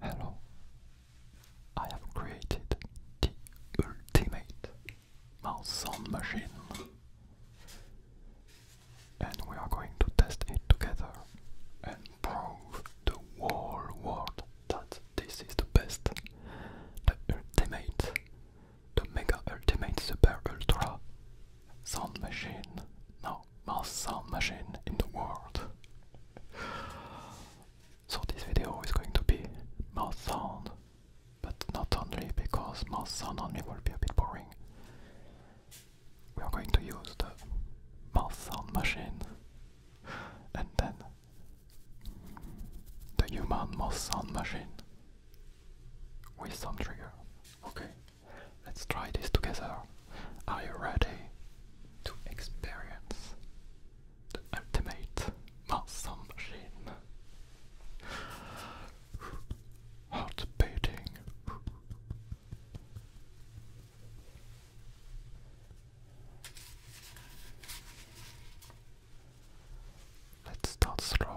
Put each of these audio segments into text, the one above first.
Hello, I have created the ultimate sound machine and we are going to test it together and prove the whole world that this is the best, the ultimate, the mega ultimate super ultra sound machine. Now, most sound machine in the world. So this video is going to be mouth sound, but not only because mouth sound only will be a bit boring. We are going to use the mouth sound machine and then the human mouth sound machine with some trigger. Okay, let's try this together. Are you ready to experience the ultimate muscle machine? Heart beating. Let's start slowly.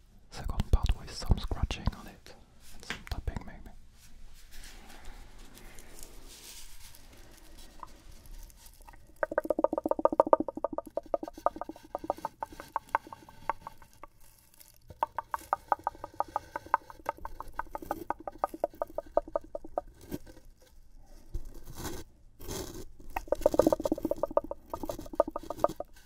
second part with some scratching on it and some tapping maybe.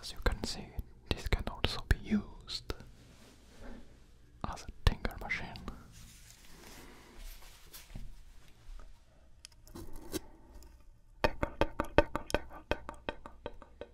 As you can see, this can also be used as a tinker machine. Tickle, tickle, tickle, tickle, tickle, tickle, tickle,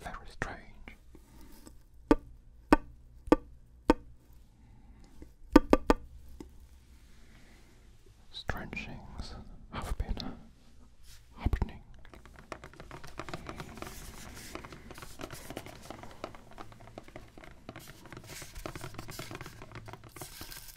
Very strange. Strange things have been happening.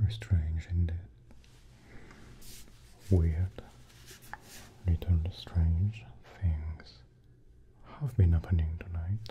Very strange indeed. Weird, little strange things have been happening tonight.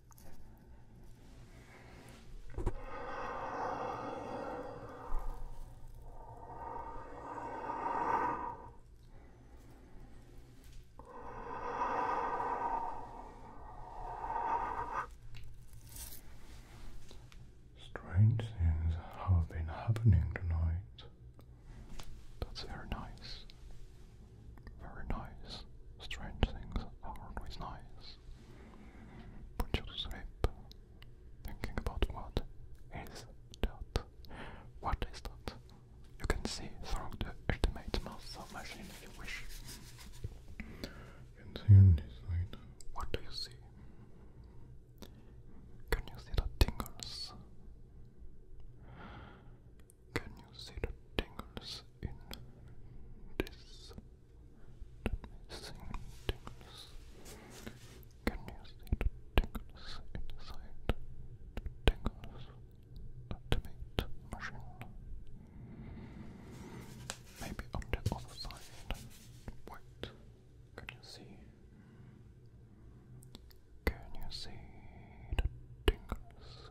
Strange things have been happening tonight. That's very nice. Very nice. Strange things are always nice. Put you to sleep thinking about what is that. What is that? You can see through the ultimate muscle machine if you wish. You see this side. What do you see? Can you see the tingles? Can you see the tingles in this? Missing tingles. Can you see the tingles inside the tingles ultimate machine? Maybe on the other side. Wait, can you see? Can you see the tingles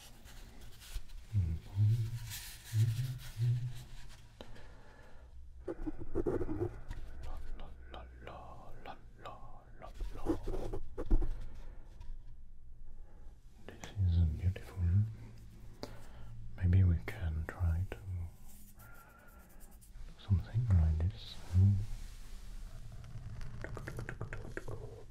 This is beautiful. Maybe we can try to something like this. Hmm. Can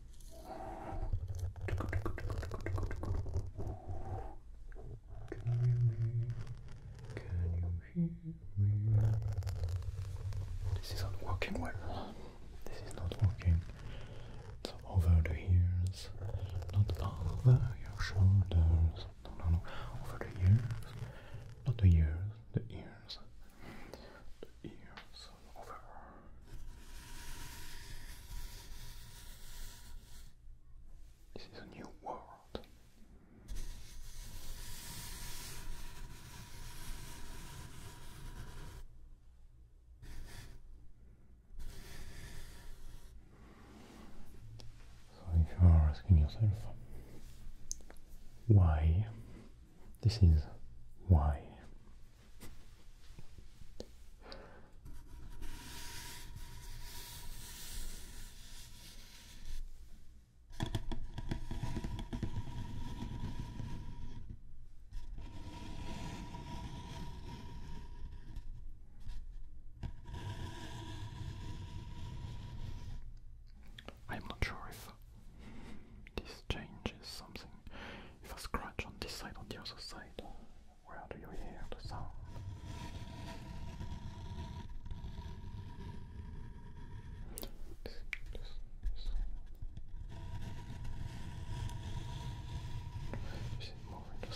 you hear me? This is not working well. This is not working. over the ears, not over your shoulders. No, no, no. Over the ears, not the ears, the ears, the ears. This is a new world. So, if you are asking yourself why, this is why I'm not sure if this changes something if I scratch on this side, on the other side, where do you hear the sound? Listen, listen, listen. Is it more in the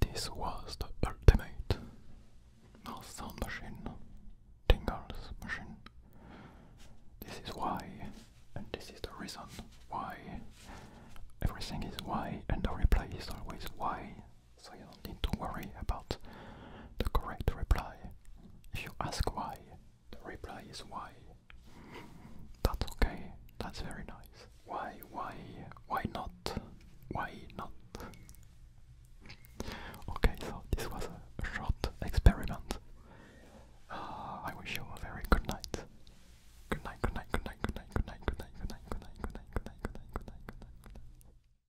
This was the ultimate no machine, tingles machine. This is why, and this is the reason why everything is why, and the reply is always why so you don't need to worry about the correct reply. If you ask why, the reply is why. That's okay, that's very nice. Why, why, why not? Why not? Okay, so this was a short experiment. I wish you a very good night, good night, good night, good night, good night, good night, good night, good night, good night, good night, good night, good night, good night.